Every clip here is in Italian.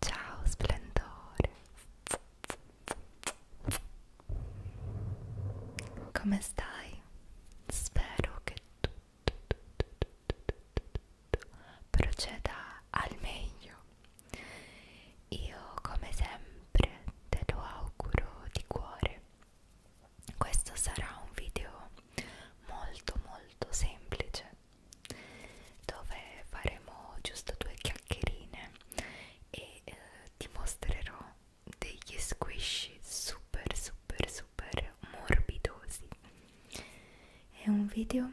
Ciao splendore. Come stai? Spero che tutto, tutto, tutto, tutto, tutto proceda al meglio. Io come sempre te lo auguro di cuore questo sarà un video molto molto semplice dove faremo giusto due chiacchierine e eh, ti mostrerò degli squish super super super morbidosi è un video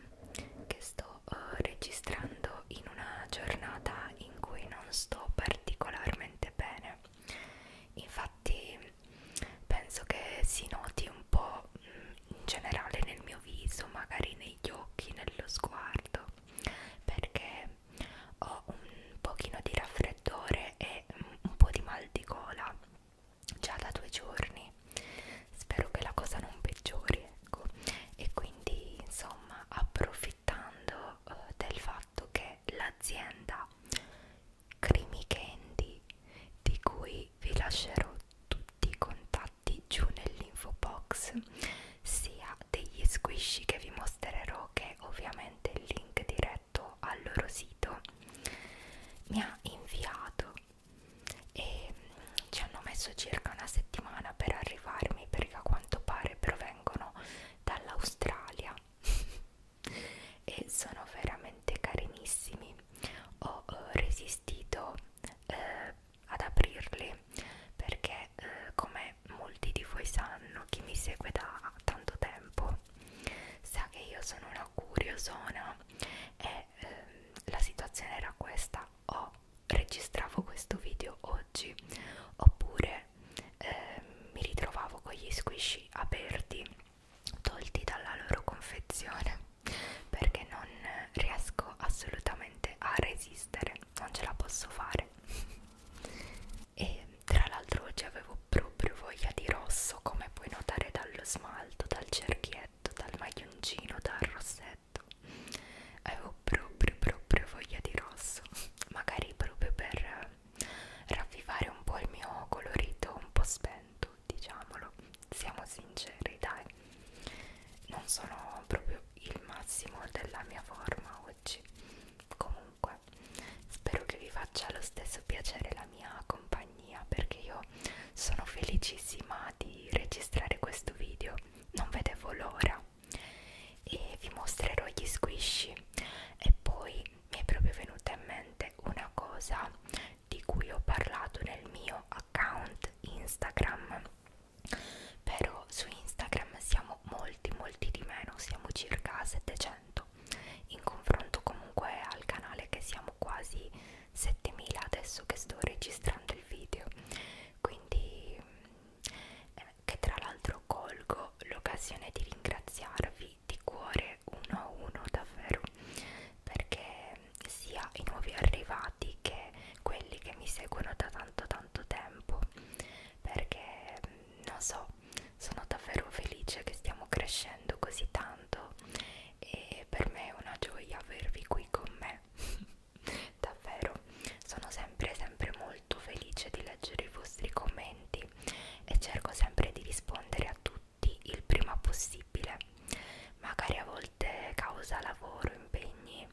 che sto eh, registrando in una giornata in cui non sto particolarmente bene sé infatti penso che si noti un po' mm, in generale nel mio viso magari negli occhi nello sguardo perché ho un pochino di raffreddore e un po' di mal di gola già da due giorni spero che la cosa non peggiori ecco e quindi insomma approfittando eh, del fatto fatto che l'azienda Creamy Candy, di cui vi lascerò tutti i contatti giù nell'info box, sia degli squishy che vi mostrerò, che ovviamente il link diretto al loro sito, mi ha inviato e ci hanno messo circa una settimana per arrivarmi perché a quanto pare provengono dall'Australia e sono veramente carinissimi ho eh, resistito eh, ad aprirli perché eh, come molti di voi sanno chi mi segue da tanto tempo sa che io sono una curiosona e eh, la situazione era questa o registravo questo video oggi oppure perché eh, mi ritrovavo con gli squishy aperti tolti dalla loro confezione perché non riesco assolutamente a resistere non ce la posso fare e tra l'altro oggi avevo proprio voglia di rosso come puoi notare dallo smalto dal cerchietto dal maglioncino dal rossetto avevo proprio proprio voglia di rosso magari proprio per ravvivare un po' il mio colorito un po' spento, diciamolo, siamo sinceri, dai. Non sono proprio il massimo della mia forma oggi. Comunque, spero che vi faccia lo stesso piacere la mia compagnia perché io sono felicissima di registrare questo video. Non vedevo l'ora e vi mostrerò gli squishy e poi mi è proprio venuta in mente una cosa di cui ho parlato nel mio account Instagram però su Instagram siamo molti molti di meno siamo circa 700 in confronto comunque al canale che siamo quasi 7000 adesso che sto registrando il video quindi eh, che tra l'altro colgo l'occasione di ringraziarvi di cuore parlare uno a uno davvero perché sia i nuovi arrivati che quelli che mi seguono da tanto tanto tempo perché non so sono davvero felice che stiamo crescendo così tanto e per me è una gioia avervi qui con me davvero sono sempre sempre molto felice di leggere i vostri commenti utili e cerco sempre di rispondere a tutti il prima possibile. Magari a volte causa lavoro, impegni,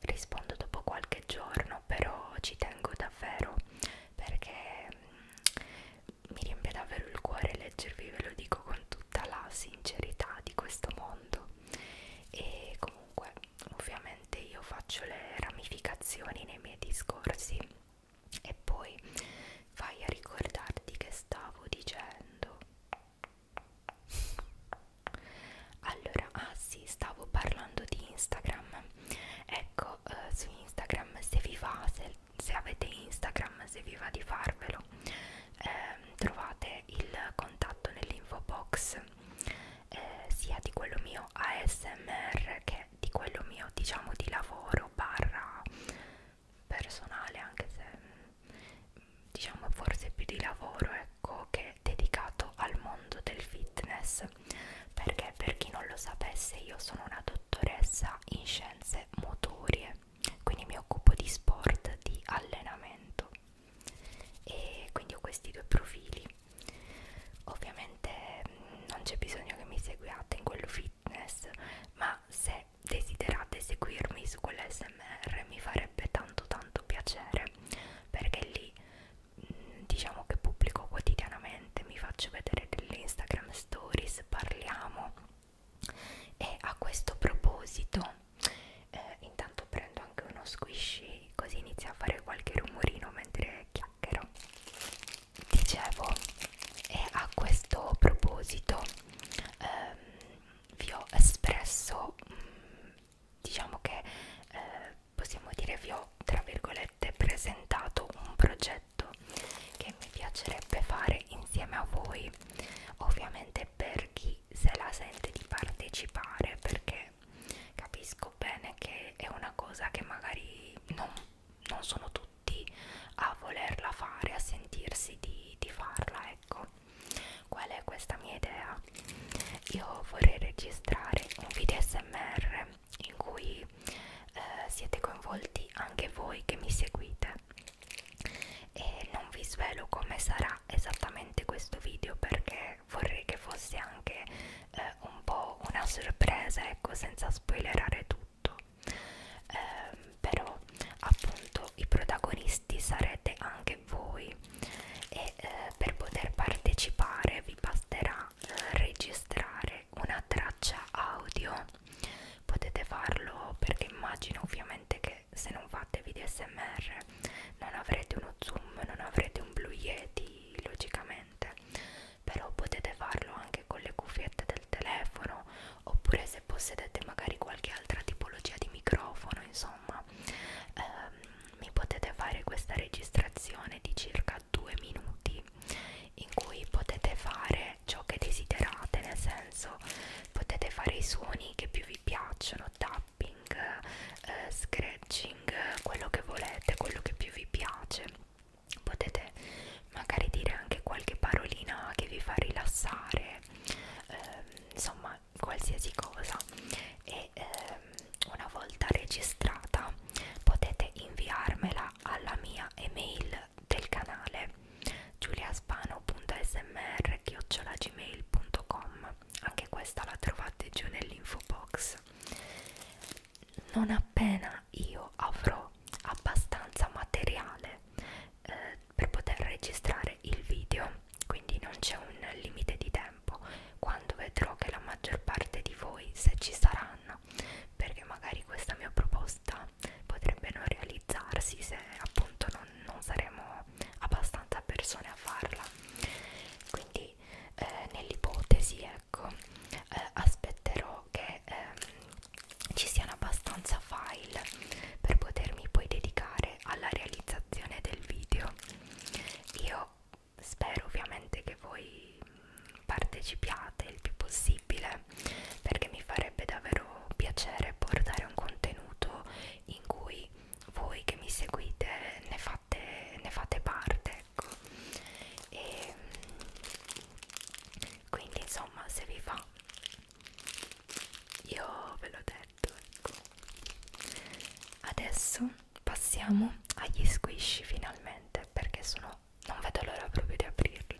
rispondo dopo qualche giorno, però ci tengo davvero perché mm, mi riempie davvero il cuore leggervi, ve lo dico con tutta la sincerità di questo mondo. E comunque, ovviamente, io faccio le ramificazioni nei miei discorsi e poi vai a ricordarti che stavo dicendo allora ah sì stavo parlando di Instagram ecco eh, su Instagram se vi va se, se avete Instagram se vi va di farvelo eh, trovate il contatto nell'info box eh, sia di quello mio ASMR che di quello mio diciamo di lavoro barra personale anche se mm, diciamo forse più di lavoro ecco che è dedicato al mondo del fitness perché per chi non lo sapesse io sono una dottoressa in scienze motorie quindi mi occupo di sport di allenamento e quindi ho questi due profili ovviamente mm, non c'è bisogno che mi seguiate in quello fitness, ma se desiderate seguirmi su quell'SMR mi farebbe tanto tanto piacere perché lì mm, diciamo che pubblico quotidianamente, mi faccio vedere delle Instagram stories, parliamo e a questo proposito eh, intanto prendo anche uno squishy così inizio a fare qualche rumorino mentre chiacchiero chiacchiero dicevo e a questo proposito ehm, vi ho espresso mh, mm, diciamo che eh, possiamo dire vi ho tra virgolette presentato un progetto che mi piacerebbe fare insieme a voi ovviamente per chi se la sente di partecipare perché capisco bene che è una cosa che magari non non sono tutti a volerla fare, a sentirsi di, di farla, ecco. Qual è questa mia idea? Io vorrei registrare un video SMR in cui eh, siete coinvolti anche voi che mi seguite e non vi svelo come sarà esattamente questo video perché vorrei che fosse anche eh, un po' una sorpresa, ecco, senza spoilerare tutto tutto eh, però appunto i protagonisti sarete anche voi e eh, per poter partecipare vi basterà eh, registrare una traccia audio potete farlo perché immagino ovviamente che se non fate video smr non avrete uno zoom non avrete un blue yeti logicamente però potete farlo anche con le cuffiette del telefono oppure se possedete magari qualche altra tipologia di microfono insomma ehm, mi potete fare questa registrazione di circa due minuti in cui potete fare ciò che desiderate nel senso potete fare i suoni che più vi piacciono tapping eh, scratching quello che volete quello che più vi piace potete magari dire anche qualche parolina che vi fa rilassare ehm, insomma qualsiasi cosa e ehm, una volta registrata potete inviarmela alla mia email del canale giuliaspano.smr.gmail.com anche questa la trovate giù nell'info box non appena io avrò abbastanza materiale eh, per poter registrare il video quindi non c'è un limite di tempo quando vedrò che la maggior parte di voi se ci saranno perché magari questa mia proposta potrebbe non realizzarsi se appunto non, non saremo abbastanza persone a farla quindi eh, nell'ipotesi ecco eh, aspetterò spero che ehm, ci siano abbastanza file per potermi poi dedicare alla realizzazione del video io spero ovviamente che voi partecipiate il più possibile perché mi farebbe davvero piacere portare un contenuto in cui voi che mi seguite ne fate, ne fate parte ecco e quindi insomma se vi fa io ve l'ho detto ecco adesso passiamo agli squish finalmente perché sono non vedo l'ora proprio di aprirli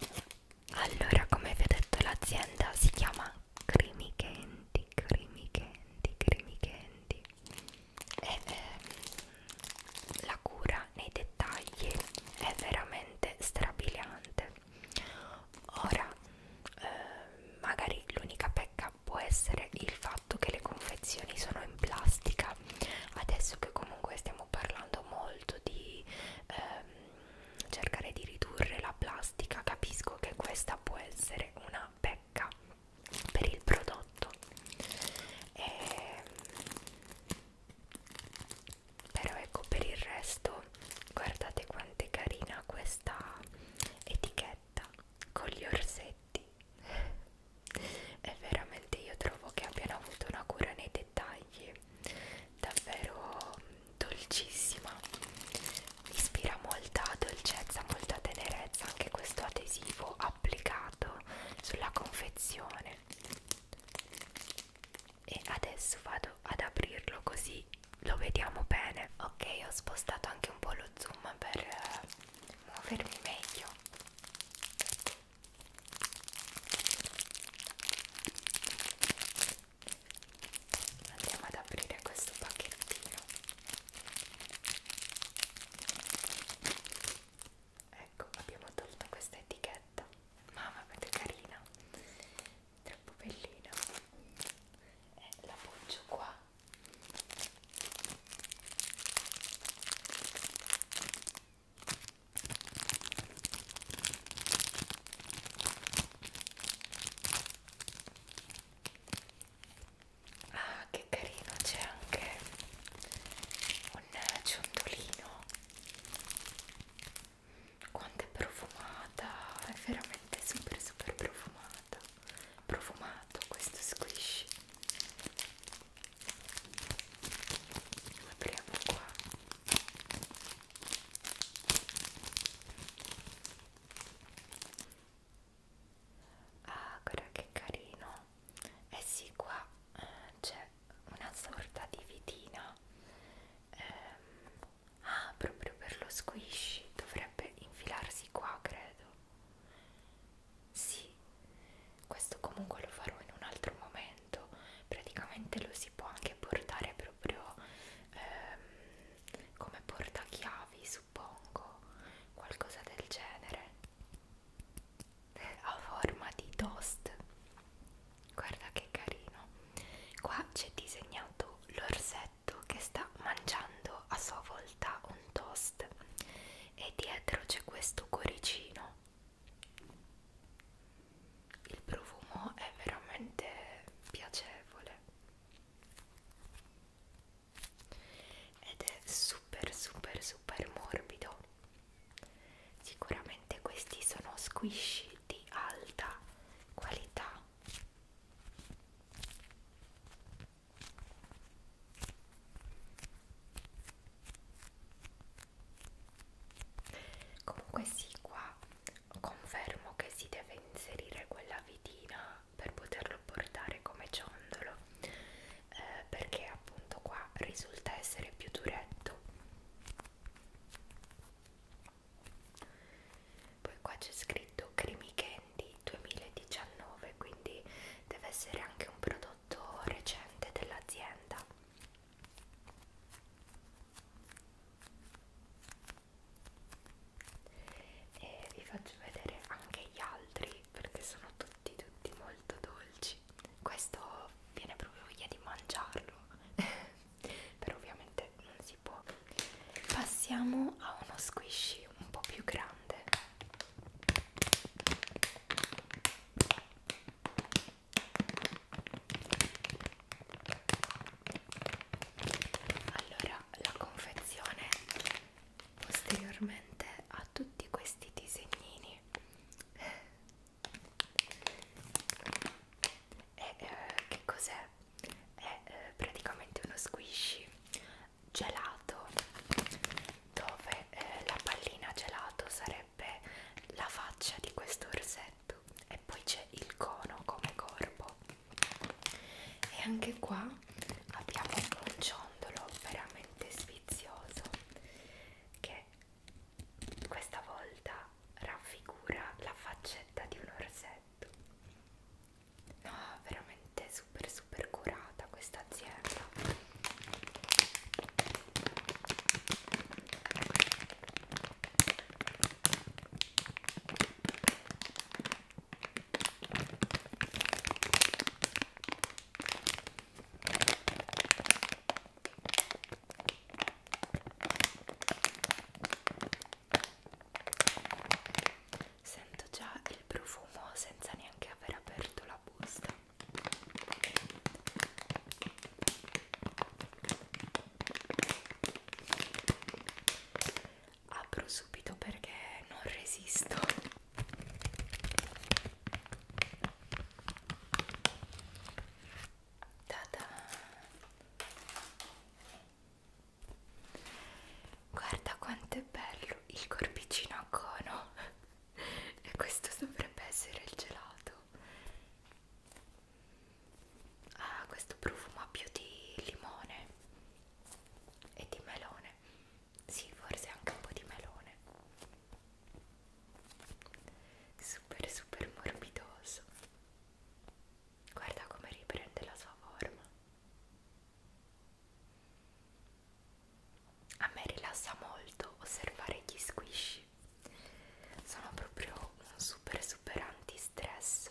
allora come vi ho detto l'azienda si chiama Creamy Candy Creamy Candy Creamy Candy e eh, la cura nei dettagli è veramente strabiliante niente ora eh, magari l'unica pecca può essere il fatto che le confezioni sono in plastica adesso che comunque stiamo parlando molto di ehm, cercare di ridurre la plastica capisco che questa può essere una pecca per il prodotto e ehm, però ecco per il resto guardate quanto è carina questa etichetta con gli orsetti e veramente io trovo che abbiano avuto una cura nei dettagli davvero dolcissima ispira molta dolcezza molta tenerezza anche questo adesivo applicato sulla confezione e adesso vado ad aprirlo così lo vediamo bene ok ho spostato anche un po' lo zoom per eh, muovermi meglio andiamo ad aprire questo pacchettino ecco abbiamo tolto questa etichetta mamma quanto è carina troppo bellina eh, la poggiu qua ah che carino c'è anche un ciondolino quanto è profumata è veramente super super profumata profumato questo squishy lo apriamo qua ah guarda che carino eh sì qua eh, c'è una sorta di vitina ehm, ah proprio per lo squishy dovrebbe infilarsi qua credo sì questo comunque lo farò in un altro momento praticamente lo si può anche portare proprio ehm, come portachiavi suppongo qualcosa del genere a forma di toast guarda che carino qua c'è disegnato l'orsetto che sta mangiando a sua volta un toast e dietro c'è questo cuoricino il profumo è veramente piacevole ed è super super super morbido sicuramente questi sono squishy di alta qualità comunque sì qua confermo che si deve inserire quella vitina per poterlo portare come ciondolo eh, perché appunto qua risulta essere più duretto poi qua c'è scritto Creamy Candy 2019 quindi deve essere anche un prodotto recente dell'azienda e vi faccio vedere anche gli altri perché sono tutti tutti molto dolci questo viene proprio voglia di mangiarlo però ovviamente non si può passiamo a uno squishy un po' più grande allora la confezione posteriormente ha tutti questi disegnini e eh, che cos'è? È eh, praticamente uno squishy gelato dove eh, la pallina gelato sarebbe la faccia di questo orsetto e poi c'è il cono come corpo e anche qua abbiamo un ciondolo veramente sfizioso che questa volta raffigura la faccetta di un orsetto no veramente super super curata questa azienda Sento già il profumo senza neanche aver aperto la busta. Apro subito perché non resisto. Guarda quanto è bello il corpicino a cono e questo dovrebbe essere il gelato. Ah, questo profuma più di limone e di melone. Sì, forse anche un po' di melone. Super super morbidoso. Guarda come riprende la sua forma. A me rilassa molto osservare gli squishy. Sono proprio un super super anti-stress.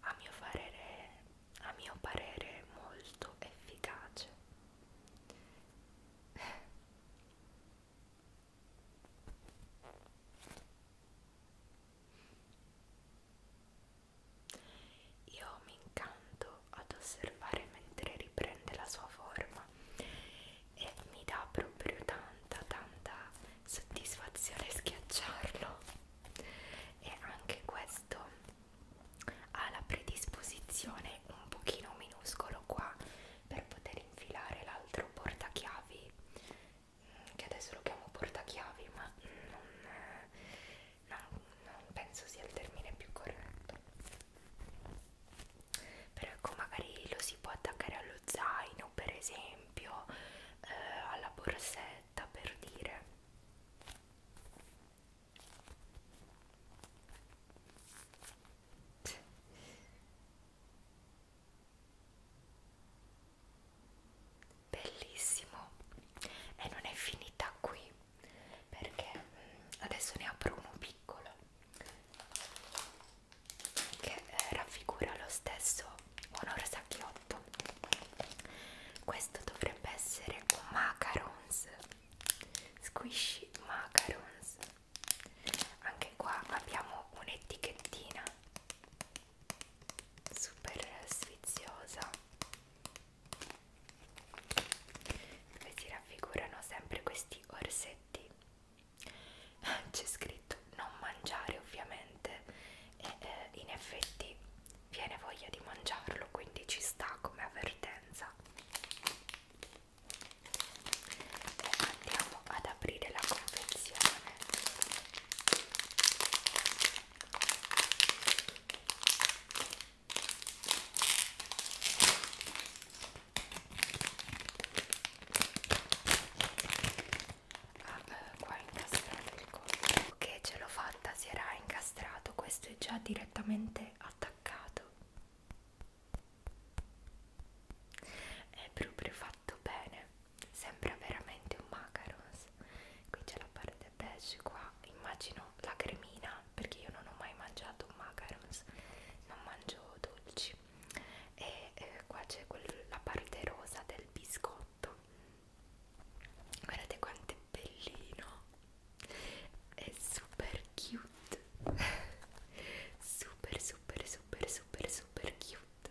A mio parere, a mio parere molto efficace. Io mi incanto ad osservare mentre riprende la sua forma e mi dà proprio tanta tanta soddisfazione schiacciarlo e anche questo ha la predisposizione un pochino minuscolo qua per poter infilare l'altro portachiavi che adesso lo chiamo portachiavi ma non, eh, non, non penso sia il termine più corretto però ecco magari lo si può attaccare allo zaino per esempio eh, alla borsetta per dire bellissimo e non è finita qui perché mm, adesso ne apro uno piccolo che eh, raffigura lo stesso Onor Sacchiotto questo dovrebbe essere un macarons squishy macarons anche qua abbiamo un'etichettina super sfiziosa dove si raffigurano sempre questi orsetti c'è scritto non mangiare ovviamente e eh, in effetti viene voglia di mangiarlo quindi ci sta come avvertenza e andiamo ad aprire la confezione Ah, eh, qua è incastrato il collo. Che ce l'ho fatta, si era incastrato. Questo è già direttamente attaccato. È proprio fatto bene sembra veramente un macarons qui c'è la parte beige qua immagino la cremina perché io non ho mai mangiato macarons non mangio dolci e eh, qua c'è la parte rosa del biscotto guardate quanto è bellino è super cute super super super super super cute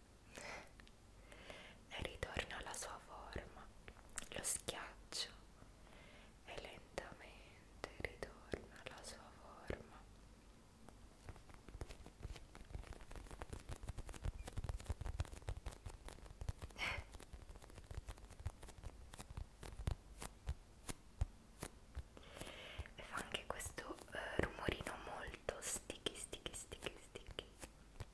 e ritorno alla sua forma, lo schiaccio e lentamente ritorno alla sua forma. e fa anche questo eh, rumorino molto sticky sticky sticky sticky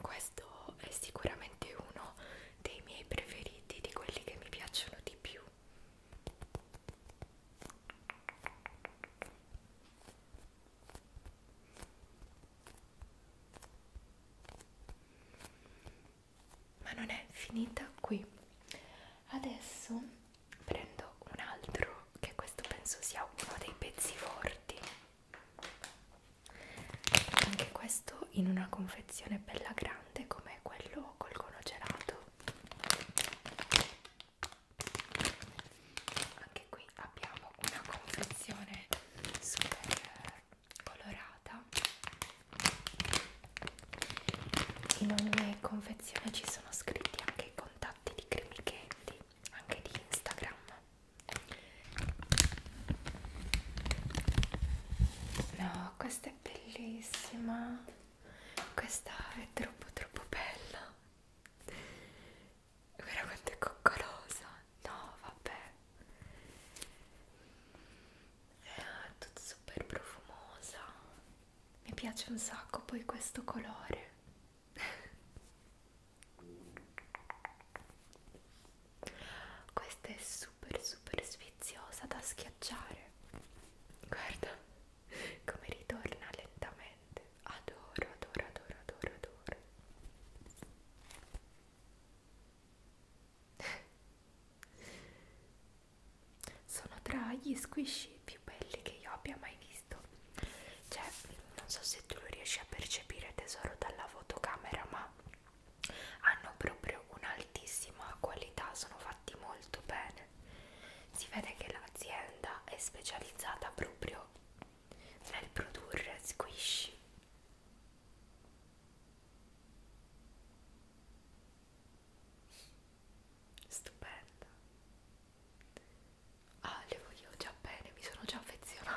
questo è sicuramente uno dei miei preferiti di quelli che mi piacciono di più ma non è finita qui adesso prendo un altro che questo penso sia uno dei pezzi forti anche questo in una confezione bella grande come quello col cono gelato anche qui abbiamo una confezione super colorata in ogni confezione ci sono scritti anche i contatti di Creamy Candy anche di Instagram No, questa è bellissima. Questa è troppo troppo bella. Veramente coccolosa. No, vabbè. È tutta super profumosa. Mi piace un sacco poi questo colore. Questa è super super sfiziosa da schiacciare. Guarda come ritorna lentamente. Adoro, adoro, adoro, adoro, adoro. Sono tra gli squishy più belli che io abbia mai visto cioè non so se tu lo riesci a percepire tesoro dalla fotocamera ma hanno proprio un'altissima qualità sono fatti molto bene si vede che l'azienda è specializzata proprio nel produrre squish stupenda ah le voglio già bene mi sono già affezionata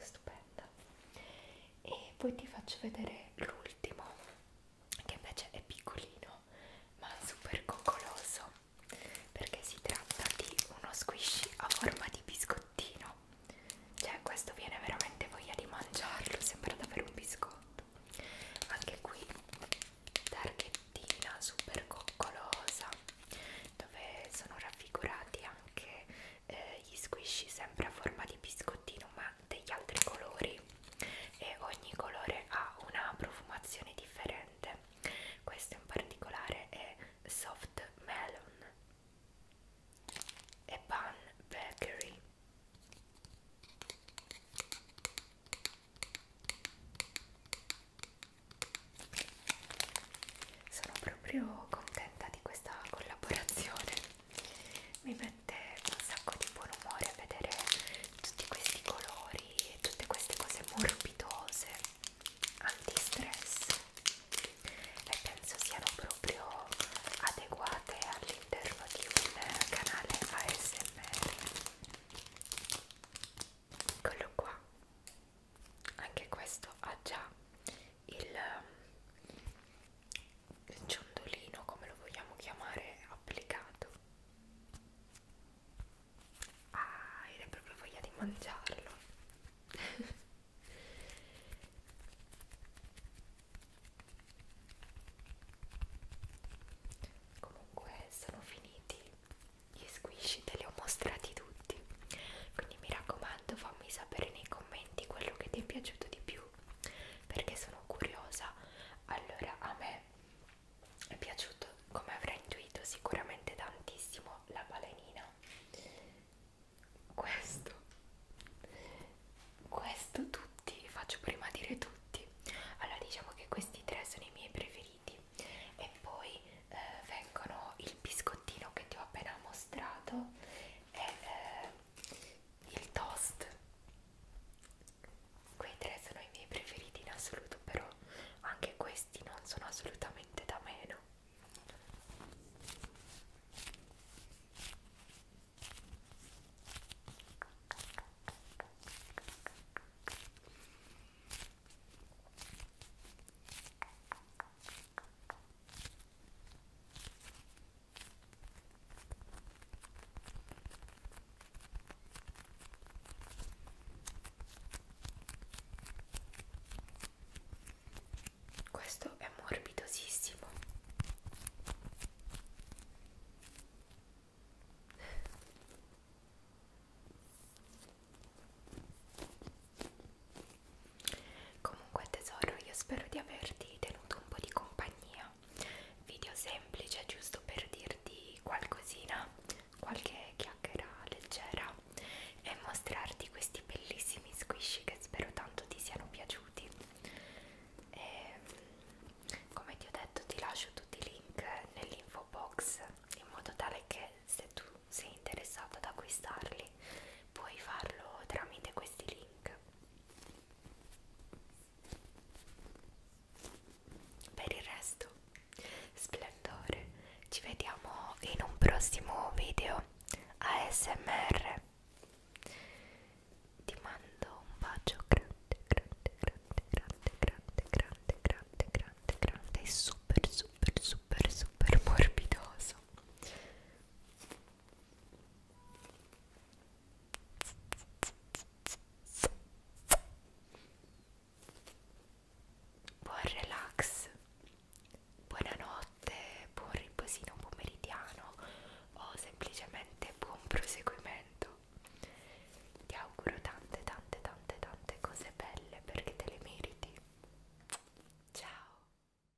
stupenda e poi ti faccio vedere l'ultimo che invece è piccolino ma super coccoloso perché si tratta di uno squishy a forma di biscottino cioè questo viene veramente voglia di mangiarlo sembra davvero un biscotto anche qui targhettina super coccolosa dove sono raffigurati anche eh, gli squishy sempre a forma di biscottino ma degli altri colori e ogni colore ha una profumazione differente questo in particolare è soft melon e pan bakery sono proprio contenta di questa collaborazione mi mette un sacco di buon umore vedere tutti questi colori e tutte queste cose morbidose anti-stress e penso siano proprio adeguate all'interno di un canale ASMR eccolo qua anche questo ha già il, ehm, il ciondolino come lo vogliamo chiamare applicato ah era proprio voglia di mangiarlo comunque sono finiti gli squishy te li ho mostrati tutti tutti quindi mi raccomando fammi sapere nei commenti quello che ti è piaciuto di più perché sono curiosa allora a me è piaciuto come avrà intuito sicuramente tantissimo la balenina questo questo tutti faccio prima dire tutti allora diciamo che questi tre sono i miei preferiti e poi eh, vengono il biscottino che ti ho appena mostrato è eh, il toast quei tre sono i miei preferiti in assoluto però anche questi non sono assolutamente da meno questo è morbidosissimo. Comunque tesoro, io spero di averti tenuto un po' di compagnia. Video semplice, giusto per dirti qualcosina, qualche chiacchiera leggera e mostrarti questi bellissimi squishy che spero tanto ti siano piaciuti. E, ehm, come ti ho detto ti lascio tutti i link nell'info box in modo tale che se tu sei interessato ad acquistarli magari puoi farlo tramite questi link per il resto splendore ci vediamo in un prossimo video ASMR ti mando un bacio grande grande grande grande grande grande grande grande grande e super super super super morbidoso Buon relax, buonanotte, buon riposino pomeridiano o semplicemente buon proseguimento. Ti auguro tante tante tante tante cose belle perché te le meriti. Ciao!